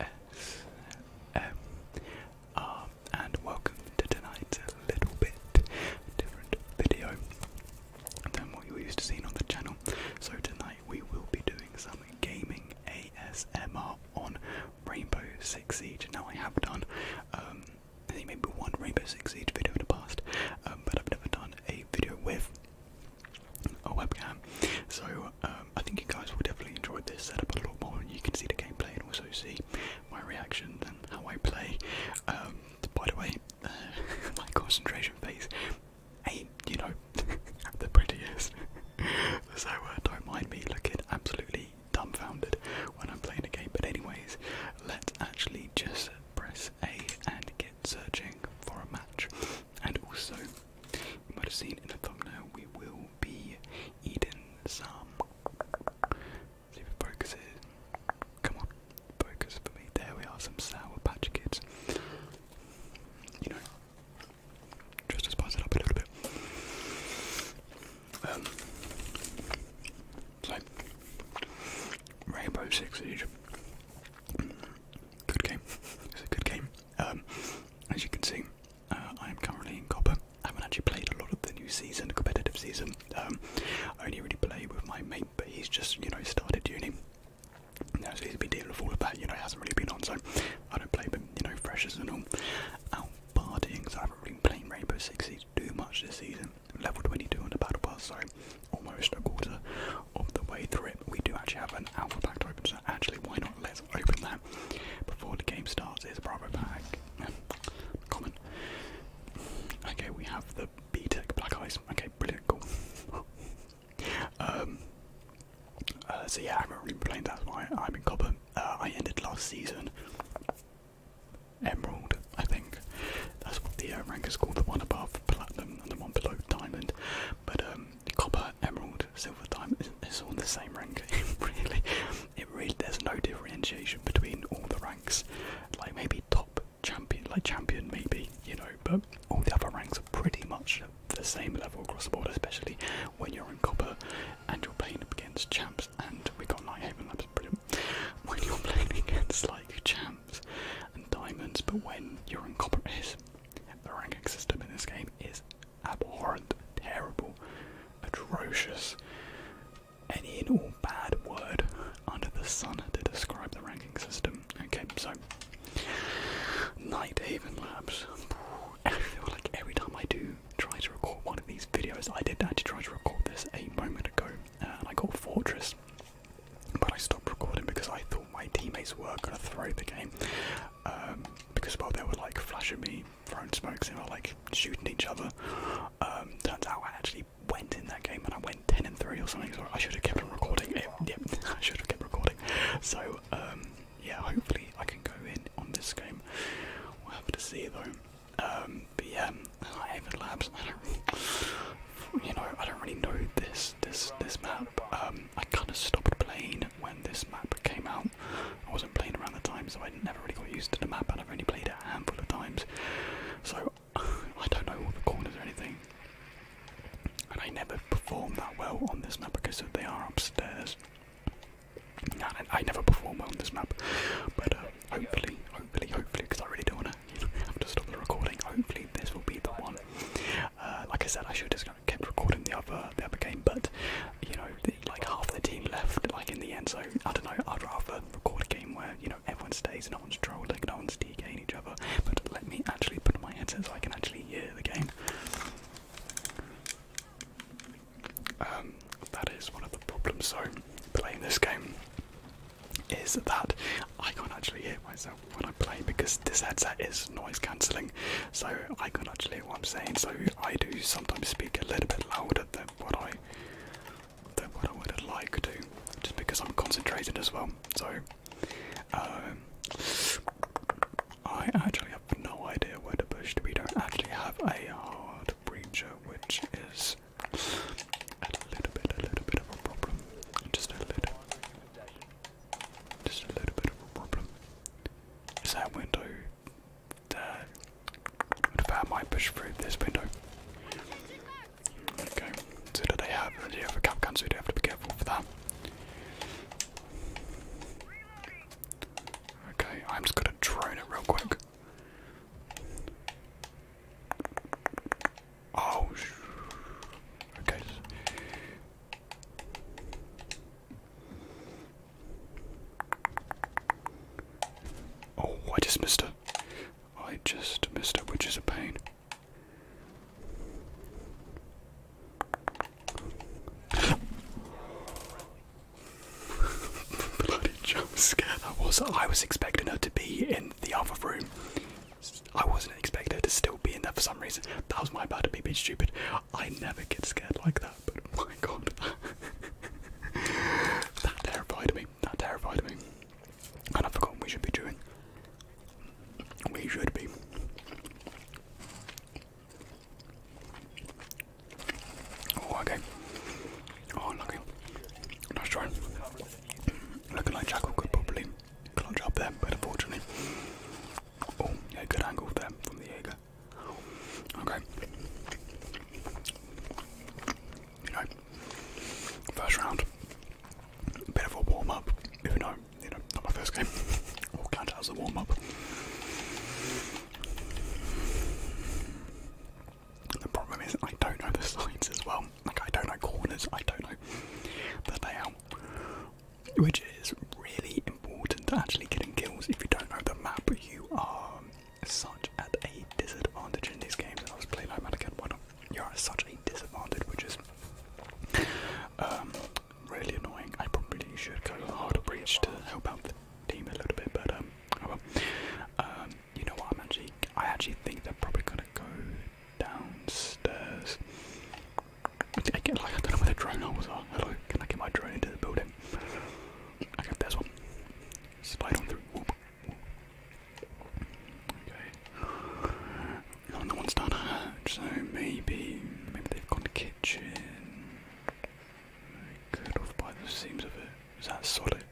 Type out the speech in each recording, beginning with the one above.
S-M-R um, um, and welcome to tonight's little bit different video than what you're used to seeing on the channel. So tonight we will be doing some gaming ASMR on Rainbow Six Siege. Now I have done um maybe one Rainbow Six Siege video in the past, um, but I've never done a video with a webcam. So um, I think you guys will definitely enjoy this setup a lot more, and you can see the gameplay and also see my reaction and how I play. Um, by the way, uh, my concentration phase ain't, you know, the prettiest, so uh, don't mind me looking absolutely dumbfounded when I'm playing a game. But anyways, let's actually just press A and get searching for a match. And also, you might have seen in the thumbnail, we will be eating some. See if it focuses. Come on, focus for me. There we are, some Sour Patch Kids. You know, just spice it up a little bit. Um, so, Rainbow Six Siege. Good game. It's a good game. Um, as you can see, uh, I am currently in copper. I haven't actually played a lot of the new season, competitive season. Um, I only really play with my mate, but he's just you know started doing. Now so a has been dealing all that. You know, he hasn't really been on, so I don't play. But you know, freshers and all out partying, so I haven't really been playing Rainbow Six Siege too much this season. Level 22 on the battle pass, so almost a quarter of the way through it. We do actually have an alpha pack open, so actually why not? let's open that before the game starts. It's a Bravo pack. Common. Okay, we have the B Tech Black Eyes. Okay, brilliant, cool. um, uh, so yeah, I haven't really played. That's why I'm in Copper. Uh, I ended last season. Emerald, I think. That's what the uh, rank is called. The one above Platinum and the one below Diamond. But um, Copper emerald, silver, diamond, it's all the same rank. really, it really there's no differentiation between all the ranks. Like maybe top champion, like champion, maybe you know, but all the other ranks are pretty much the same level across the board, especially when you're in copper and you're playing against champs. And we got Nighthaven Labs, brilliant. When you're playing against like champs and diamonds, but when you're in copper, is the ranking system in this game is abhorrent, terrible, atrocious, any and bad word under the sun to describe the ranking system. Okay, so Night Nighthaven Labs. I feel like every time I do try to record one of these videos, I did actually try to record this a moment ago, uh, and I got Fortress. But I stopped recording because I thought my teammates were going to throw the game. Um, because while they were like flashing me, throwing smokes, and were like shooting each other, um, turns out I actually went in that game and I went 10 and 3 or something, so I should have kept on recording Yep, I should have kept recording. So, um, yeah, hopefully I can go in on this game. We'll have to see though. but yeah, I Labs, don't really, you know, I don't really know this, this, this map. Um, I kind of stopped playing when this map came out. I wasn't playing around the time, so I never really got used to the map, and I've only played it a handful of times. So I don't know all the corners or anything. And I never performed that well on this map because they are upstairs. I never perform well on this map, but uh, hopefully, hopefully, hopefully, because I really don't want to have to stop the recording. Hopefully, this will be the one. Uh, like I said, I should just kept recording the other the other game, but you know, like half the team left like in the end. So I don't know. I'd rather record a game where you know everyone stays, and no one's trolling, no one's DKing each other. But let me actually put on my headset so I can actually hear the game. Um, that is one of the problems. So playing this game is that I can't actually hear myself when I play because this headset is noise cancelling, so I can actually hear what I'm saying. So I do sometimes speak a little bit louder than what I than what I would like to, just because I'm concentrated as well. So um, I actually have no idea where to push to. We don't actually have a hard breacher, which is a little bit, a little bit of a problem. Just a little. Just a little bit of a problem. Is that window What if I push through this window? Okay, so do they have, do you have a cap can, so you do have to be careful for that. Okay, I'm just gonna drone it real quick. Oh, okay. Oh, I just missed her. I just missed her, which is a pain. Bloody jump scare that was. I was expecting her to be in the other room I wasn't expected to still be in there for some reason. That was my bad to be being stupid. I never get scared like that, but oh my god. that terrified me. That terrified me. And I forgot what we should be doing. We should be. Oh, okay. Oh, lucky. Nice try. Looking like Jackal could probably clutch up there, but unfortunately. Oh, yeah, good angle there from the Jaeger. Okay. You know, first round, bit of a warm up, even though, you know, not my first game. All count as a warm up. The problem is, I don't know the sides as well. Like, I don't know corners, I don't know but the layout which is really important to actually getting kills. If you don't know the map, you are such at a disadvantage in this game. And I was playing like Madagascar, You're such a disadvantage, which is um, really annoying. I probably should go harder breach to help out the team a little bit, but um, oh um you know what? i actually, I actually think they're probably gonna go downstairs. I get like I don't know where the drone holes are. Oh, hello, can I get my drone into the building? Okay, there's one. Slide on through. Okay. Oh, None one's done hatch, so maybe maybe they've gone to kitchen. Good off by the seams of it. Is that solid?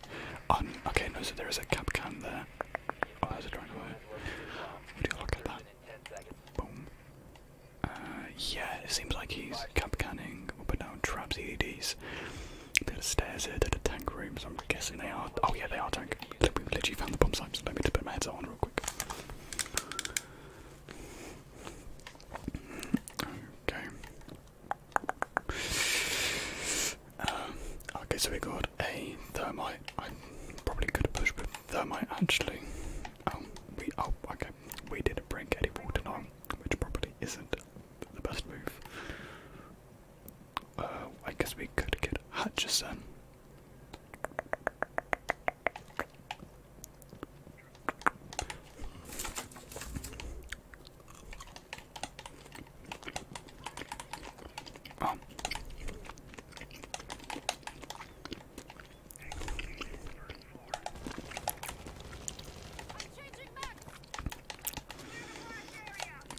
okay, no, there is a cab can there. Oh, there's a drone away. Would you look at that? Boom. Uh, yeah, it seems like he's cap canning up and down traps, EDs. There are stairs here, there are tank rooms, I'm guessing they are. Oh, yeah, they are tank. we literally found the bomb sites. Let me just put my headset on real quick. Okay. Um, okay, so we got a thermite. I probably could have pushed with that might actually. Um, we oh okay, we didn't bring any water on, which probably isn't the best move. Uh, I guess we could get Hutchison. Um,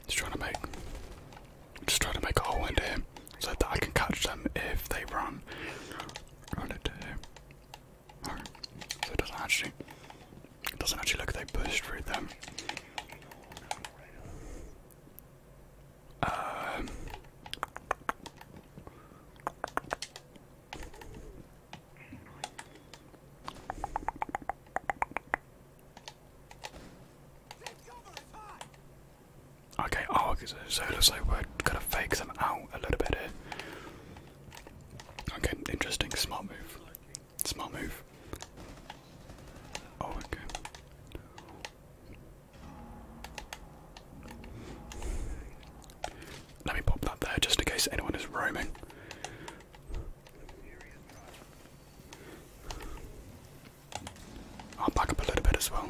just trying to make, just trying to make a hole into him so that I can catch them if they run, run into him. so it doesn't actually, it doesn't actually look they pushed through them. Um, okay, oh, so it looks like we're gonna fake them out a little bit here. Okay, interesting, smart move. Smart move. Oh, okay. Let me pop that there just in case anyone is roaming. I'll back up a little bit as well.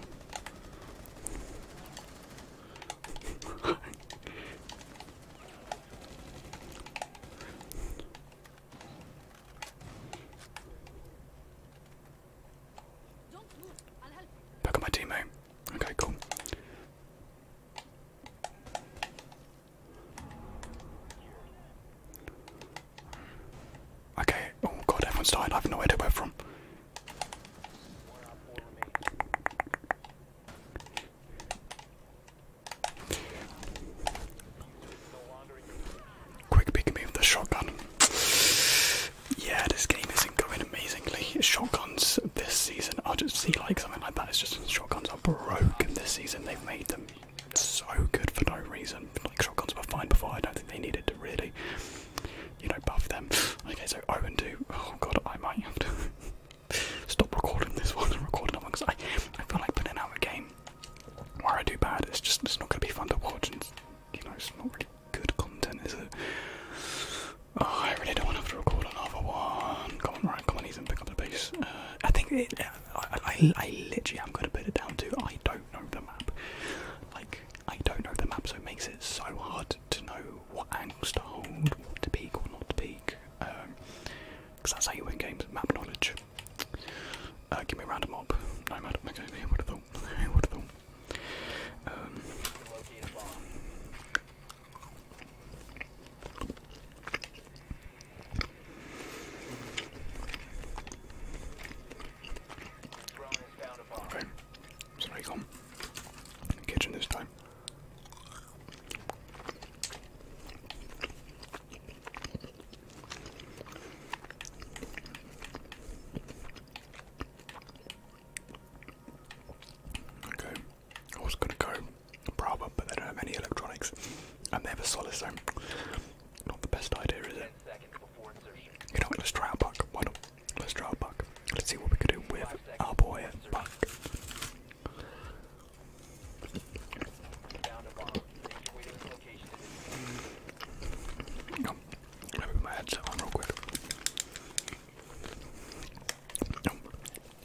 Back on my teammate. Okay, cool. Okay, oh god, everyone's dying. I have no idea where from. Quick pick me with the shotgun. Yeah, this game isn't going amazingly. Shotguns this season, I just see like something like that. It's just shotguns are broken this season. They've made them so good for no reason. Like shotguns were fine before. I don't think they needed to really, you know, buff them. Okay, so I'm 0 and do. Oh god, I might have to stop recording this one and record another one because I, I feel like putting out a game where I do bad. It's just it's not going to be fun to watch. And you know, it's not really good content, is it? Oh, I really don't want to have to record another one. Come on, right, come on, Ethan, pick up the pace. Uh, I think uh, I, I, literally am going to put it down to I don't know the map. Like, I don't know the map, so it makes it so hard to know what angles to hold, what to peak or not to peak. Because um, that's how you win games, map knowledge. Uh, give me a random mob. No mad. Okay, here would have thought. Here would have thought. Um, okay, so now come. Kitchen this time. Okay, I was gonna go Brava, but they don't have any electronics and they have a solid, not the best idea, is it? You know what, let's try our buck. Why Let's try buck. Let's see what we can do with our boy Buck. No, let me my headset on real quick. No,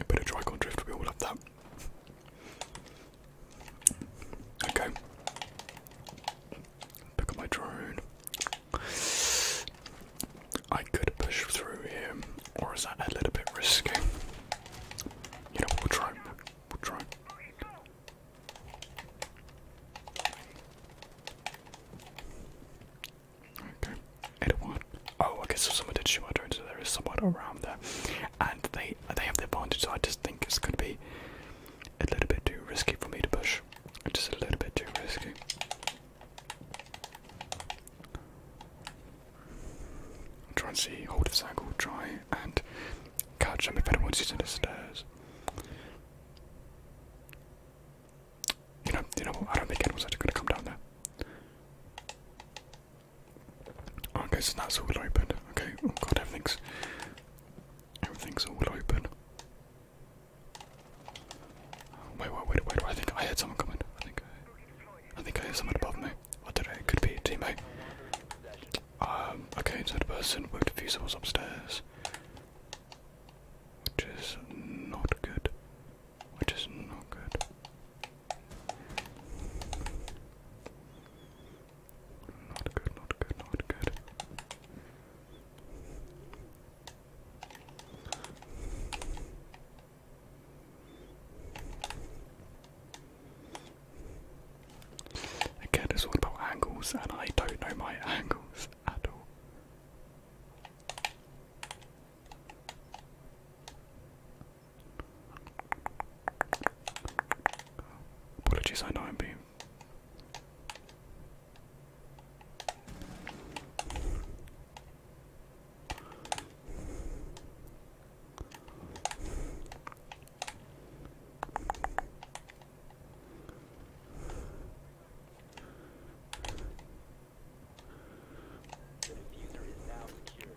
a bit of tricycle drift, we all love that. Okay. Pick up my drone. I could push through here, or is that a little bit risky? You we'll try. We'll try. Okay, it won. Oh, okay, so someone did shoot my drone, so there is someone around there. And they they have their advantage, so I just think it's going to be a little bit too risky for me to push. Just a little bit too risky. Try and see, hold this angle, try and catch them if anyone's using the stairs. You know, you know I don't think anyone's actually gonna come down there. Okay, so that's all open. Okay, oh god, everything's everything's all open. Wait, wait, wait, wait! I think I heard someone coming. I think I, think I heard someone above me. What did I? It could be a teammate. Um, okay, so the person with defusibles upstairs. Which is not good. Which is not good. Not good, not good, not good. Again, it's all about angles, and I don't know my angles at all. Apologies, I know I'm the diffuser is now secure.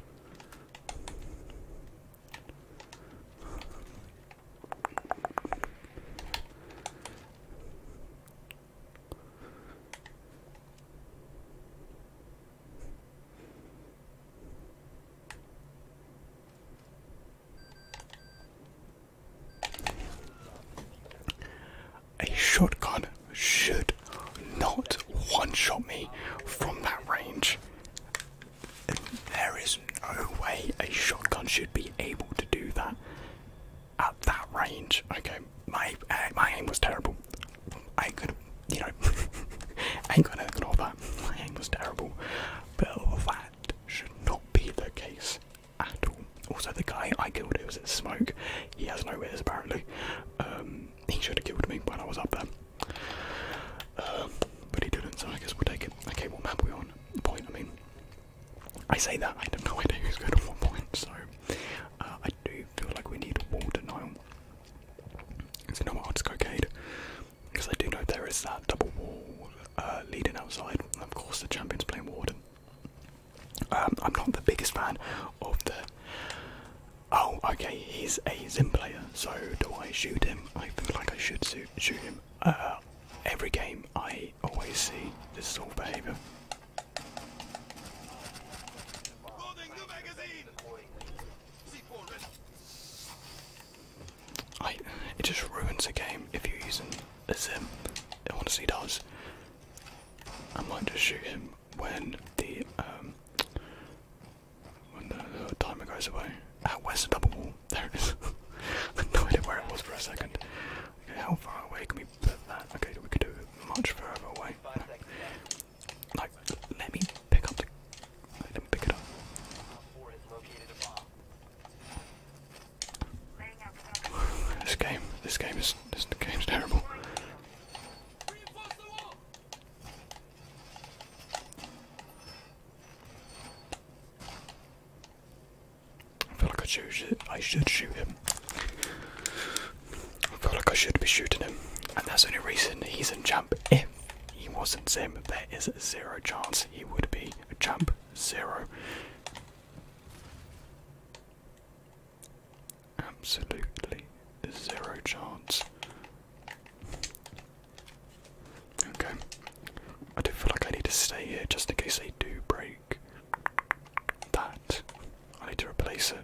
A shotgun should not one shot me from that range. There is no way a shotgun should be able to do that at that range. Okay, my uh, my aim was terrible. I could, you know, I ain't gonna ignore that. My aim was terrible but that should not be the case at all. Also, the guy I killed was at smoke, he has no ears apparently. Um, he should have killed me when I was up there, um, but he didn't. So I guess we'll take it. Okay, what map are we on? The point. I mean, I say that I have no idea who's good at what point. So uh, I do feel like we need wall denial. So you know what? I'll just because I do know there is that double wall uh, leading outside, of course the champion's playing Warden. Um, I'm not the biggest fan of the. Oh, okay, he's a Zim player, so do I shoot him? I feel like I should shoot, shoot him. Uh, every game I always see this sort of behaviour it just ruins a game if you're using a Zim. It honestly does. I might just shoot him when the um, when the, timer goes away. Ah, where's the double wall? There it is. no idea where it was for a second. how far away can we put that? Okay, we could do much further away. Like, let me pick up the I didn't pick it up. this game, this game is, this game's terrible. I feel like I should, I should shoot him. I feel like I should be shooting him, and that's the only reason he's in jump if he wasn't Zim, there is zero chance he would be a champ. Zero. Absolutely zero chance. Okay. I do feel like I need to stay here just in case they do break that. I need to replace it.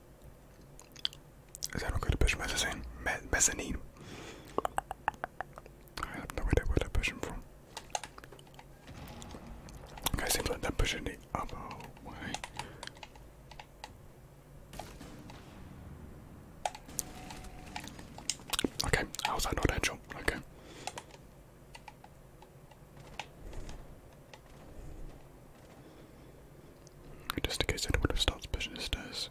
Üzerime could mezzanine. Me mezzanine. I have no idea where they're pushing from. Okay, seems like they're Okay, how's that not actual? Okay. Just in case anyone starts pushing the stairs.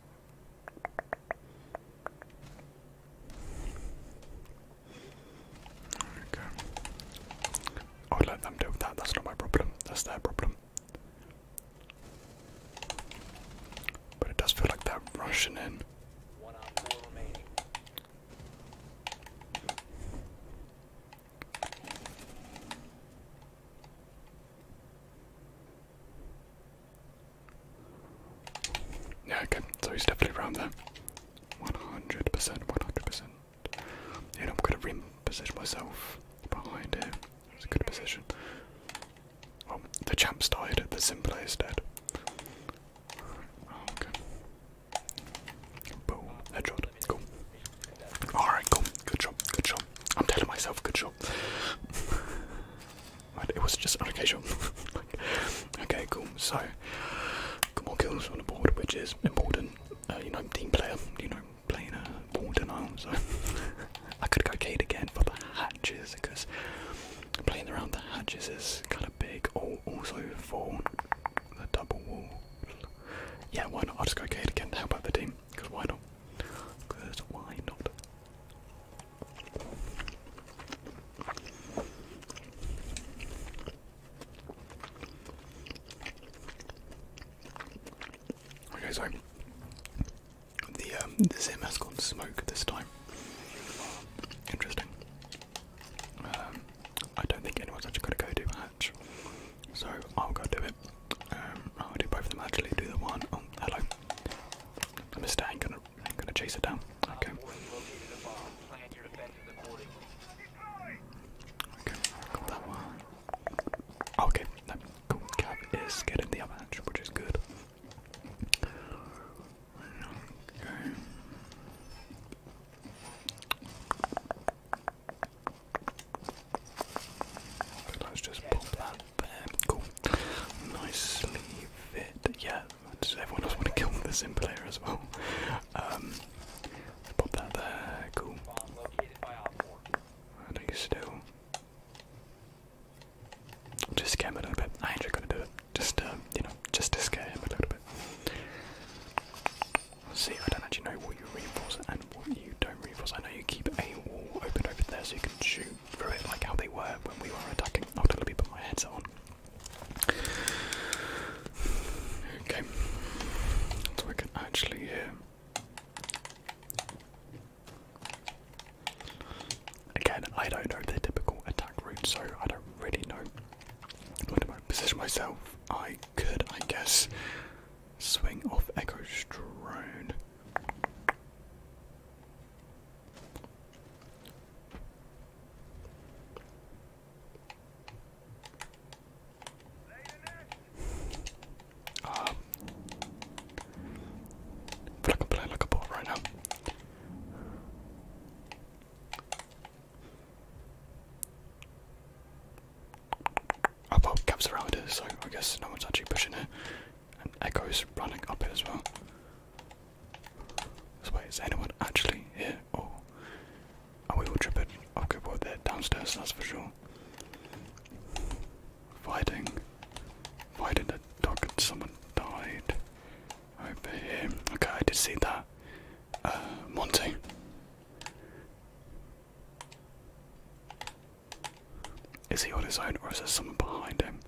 Okay. i let them deal with that, that's not my problem, that's their problem. But it does feel like they rushing in. Yeah, okay, so he's definitely around there. 100%, 100%. And I'm gonna rim position myself behind him. It's a good position. Well, the champ's died, the simpler is dead. Oh, okay. Boom, headshot, cool. Alright, cool. Good job. Good job. I'm telling myself, good job. it was just an occasion. okay, cool. So, got more kills on the board, which is important. Uh, you know, team player. You know, playing a board denial. So, I could go Kate again for the hatches because playing around the hatches is kind of big. also for the double wall. Yeah, why not? I'll just go Cade again to help out the team. Because why not? Because why not? Okay, so the um, the Zim has gone smoke this time. Interesting. Um, I don't think anyone's actually going to go to so I'll go do it. Um, I'll do both of them actually. Do the one. Oh, hello. I'm gonna, gonna chase it down. Okay. Okay, that one. Okay, that cool is getting the other which is good. Okay let's just pop that Cool. Nicely fit. Yeah, does everyone else want to kill the sim player as well? let's um, pop that there. Cool. I think still. Just scare him a little bit. I ain't gonna do it. Just, uh, you know, just to scare him a little bit. See, I don't actually know what you reinforce and what you don't reinforce. I know you keep a wall open over there so you can shoot through it like how they were when we were attacking. I'll oh, totally put my headset on. Okay, so I can actually Again, I don't know their typical attack route, so I don't really know. What do I position myself? I could, I guess, Swing off Echo Drone. Um, but I can play like a bot right now. I've got Cap's around it, so I guess no one's actually pushing it. And is running up it as well. So wait, is anyone actually here? Or are we all tripping? Okay, oh, well, they're downstairs, that's for sure. Fighting. Fighting the dog and someone died over here. Okay, I did see that. Uh, Monty. Is he on his own or is there someone behind him?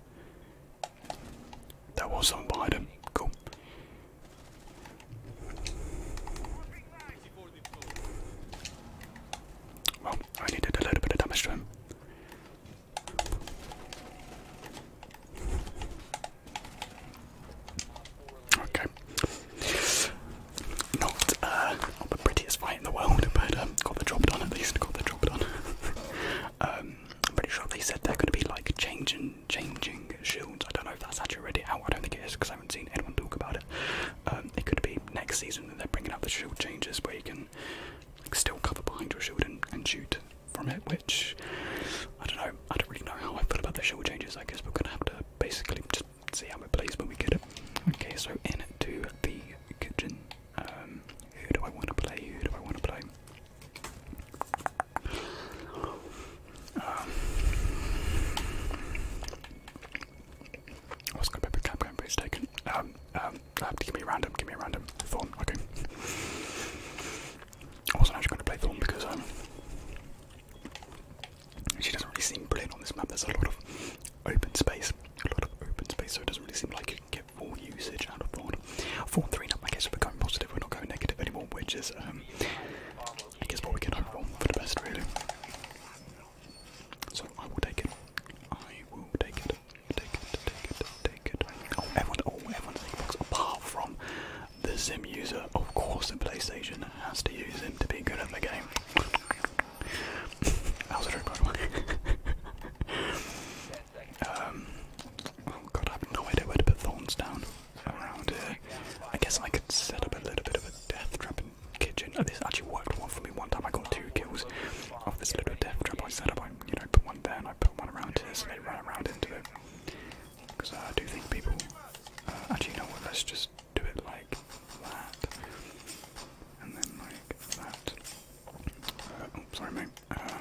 There was someone behind him. Cool. Well, I only a little bit of damage to him. Okay. Not, uh, not the prettiest fight in the world, but um, got the job done at least. Got the job done. Um, I'm pretty sure they said they're going to be like changing, changing shields. I don't know if that's actually ready out. I don't think it is because I haven't seen anyone talk about it. Um, it could be next season that they're bringing up the shield changes where you can like, still cover behind your shield and, and shoot from it. Which I don't know. I don't really know how I feel about the shield changes. I guess we're going to have to basically just just see how it plays when we get it. Okay, so in to the kitchen. Um, who do I want to play? Who do I want to play? Um, going to pick up but it's taken. Um, um, uh, give me random, give me random. Thorn, okay. I wasn't actually going to play Thorn because, um, she doesn't really seem brilliant on this map. There's a lot of open space, a lot of open space, so it doesn't really seem like you can get full usage out of Vaughn. Four 3 now, I guess we're going positive, we're not going negative anymore, which is, um, I guess what we can hope for, for the best, really. So I will take it. I will take it. Take it, take it, take it. Oh, everyone, oh, everyone's Xbox apart from the sim user, of course the PlayStation has to use him to be good at the game. um, oh god, I have no idea where to put thorns down around here. I guess I could set up a little bit of a death trap in the kitchen. Oh, this actually worked well for me one time. I got two kills off this little death trap I set up. I, you know, put one there and I put one around here so they ran around into it because I do think people. Uh, actually, you know what? Let's just do it like that, and then like that. Uh, oh, sorry, mate. Uh, I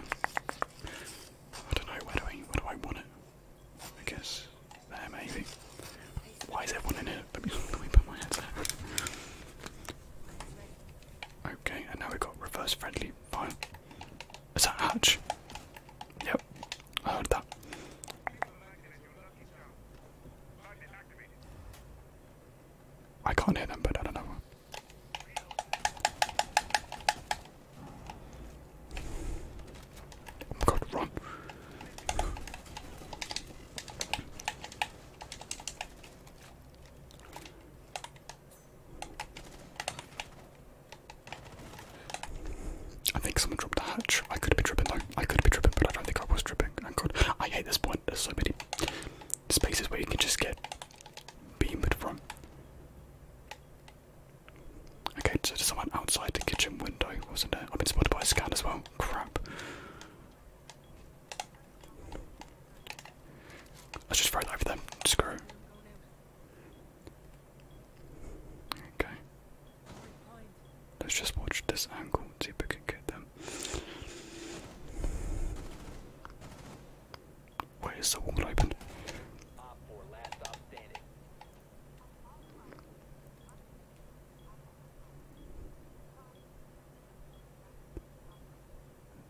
don't know. Where do I? Where do I want it? Because guess there, maybe. Why is everyone in it? Let me, let me put my headset. Okay, and now we've got reverse friendly Fine. Is that Hatch? Yep, Ah, orada. I can't hear them, but I don't know. Oh god, run. I think someone dropped the hatch. I could have been tripping though. I could have been tripping, but I don't think I was tripping. Thank God. I hate this point. There's so many spaces where you can just get beamed from. Okay, so there's someone outside the kitchen window, wasn't it? I've been spotted by a scan as well. Crap. Let's just throw that over them. Screw. Okay. Let's just watch this angle and see if we can get them. Wait, the wall open?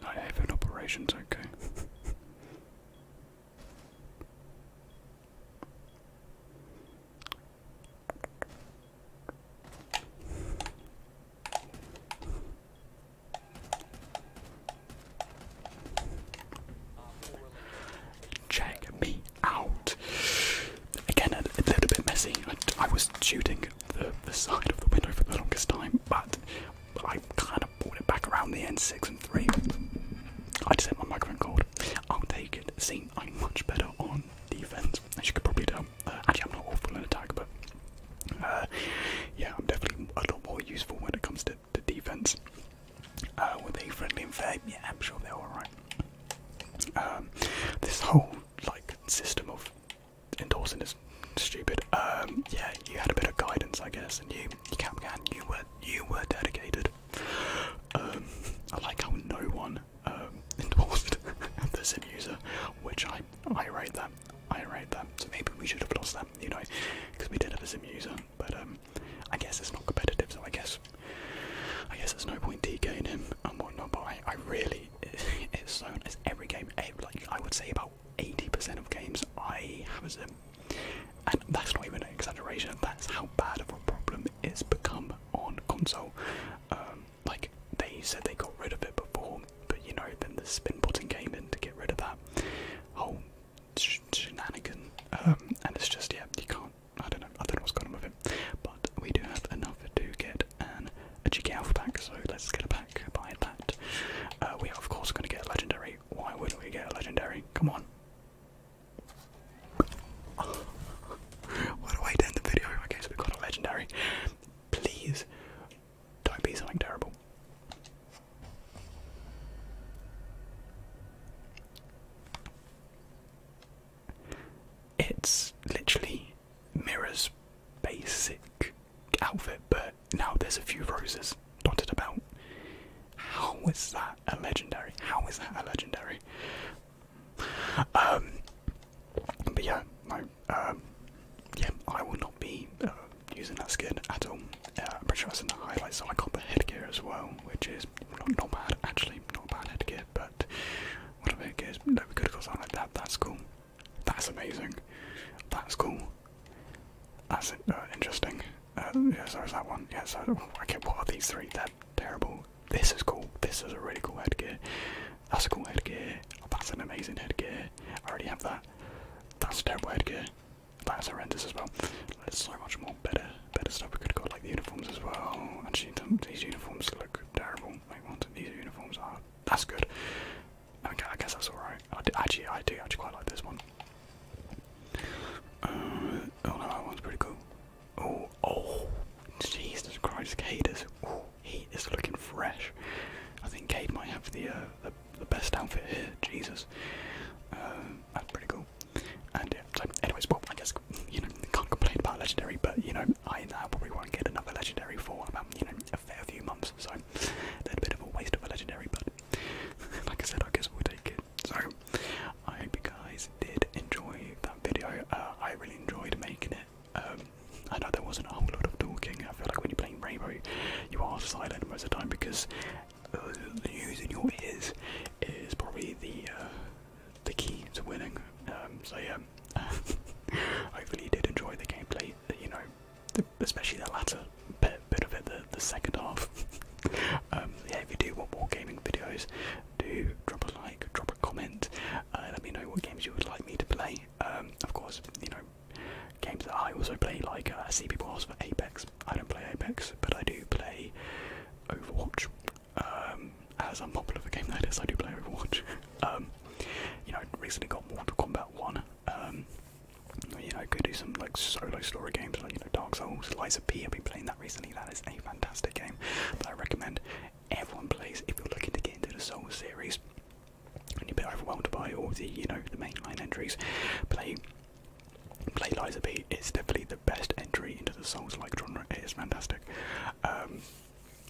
Night Haven operations, okay. Check me out. Again, a, a little bit messy. I, I was shooting the, side of the window for the longest time, but I kind of brought it back around the N six and three. I just hit my microphone cord. I'll take it. See, I'm much better on defense, as you could probably tell. Uh, actually, I'm not awful in attack, but uh, yeah, I'm definitely a lot more useful when it comes to, defense. Uh, with were friendly and fair? Yeah, I'm sure they're alright. Um, this whole like system of endorsing is stupid. Um, yeah, you had a bit of guidance, I guess, and you, you were dedicated. Um, I like how no one um, endorsed the sim user, which I I rate that. I rate that. So maybe we should have lost that, you know, because we did have a sim user. But um, I guess it's not competitive, so I guess I guess there's no point DKing him and whatnot. But I, really it's so it's every game eh, like I would say about 80% of games I have a sim and that's not even an exaggeration, that's how bad of a problem it's become on console. Um, like, they said they got rid of it before, but you know, then the spin button came in to get rid of that whole sh shenanigan. Um, and it's just, yeah, you can't, I don't know, I don't know what's going on with it. But we do have enough to get an a cheeky alpha pack, so let's get a pack, buy that. Uh, we are, of course, going to get a legendary. Why wouldn't we get a legendary? Come on. What a way to end the video. Okay, so we've got a legendary. Please don't be something terrible. It's literally Mirror's basic outfit, but now there's a few roses dotted about. How was that a legendary? How is that a legendary? Um, but yeah, no, um, yeah, I would not be uh, using that skin at all. Yeah, uh, I'm pretty sure that's in the highlights. So I got the headgear as well, which is not, not bad actually, not bad headgear. But whatever I think no, we could have got something like that. That's cool. That's amazing. That's cool. That's uh, interesting. Yes, um, yeah, so is that one. Yeah, so okay, what are these three? They're terrible. This is cool. This is a really cool headgear. That's a cool headgear. That's an amazing headgear. I already have that. That's a terrible headgear. That's horrendous as well. There's so much more better, better stuff we could have got, like the uniforms as well. Actually, these uniforms look terrible. these uniforms are. That's good. I, I guess that's alright. I do, actually, I do actually quite like this one. Uh, oh no, that one's pretty cool. Oh, oh Jesus Christ, Cade is, looking fresh. I think Cade might have the, uh, the, best outfit here, Jesus. Um, that's pretty cool. And yeah, so anyways, well, I guess, you know, can't complain about Legendary, but, you know, I now probably won't get another Legendary for about, you know, a fair few months, so that's a bit of a waste of a Legendary, but like I said, I guess we'll take it. So, I hope you guys did enjoy that video. Uh, I really enjoyed making it. Um, I know there wasn't a whole lot of talking. I feel like when you're playing Rainbow, you are silent most of the time because uh, the noise in your ears is probably the uh, the key to winning. Um, so yeah, hopefully did enjoy the gameplay. You know, especially the latter bit, bit of it, the, the second half. Um, yeah, if you do want more gaming videos, do drop a like, drop a comment, uh, let me know what games you would like me to play. Um, of course, you know, games that I also play, like uh, I see people ask for Apex. I don't play Apex, but I do play Overwatch. Um, as unpopular of a game that is, I do play Overwatch. you know, recently got Mortal Kombat 1, um, you know, could do some like solo story games like you know Dark Souls, Liza P. I've been playing that recently. That is a fantastic game that I recommend everyone plays if you're looking to get into the Souls series and you're a bit overwhelmed by all the you know the mainline entries. Play play Liza P. is definitely the best entry into the Souls-like genre. It is fantastic. Um,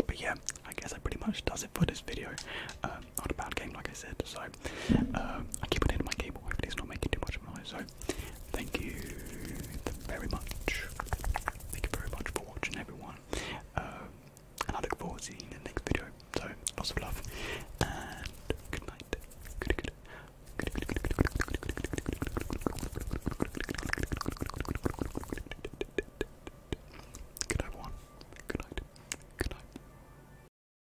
but yeah, I guess that pretty much does it for this video. Um, not a bad game, like I said. So uh, I keep on my keyboard, hopefully it's not making too much noise. So, thank you very much. Thank you very much for watching, everyone. Uh, and I look forward to seeing you in the next video. So, lots of love and good night. Good, good. Good, good, good, good, good, good, good, good, good, good, good, everyone. Good night. Good night.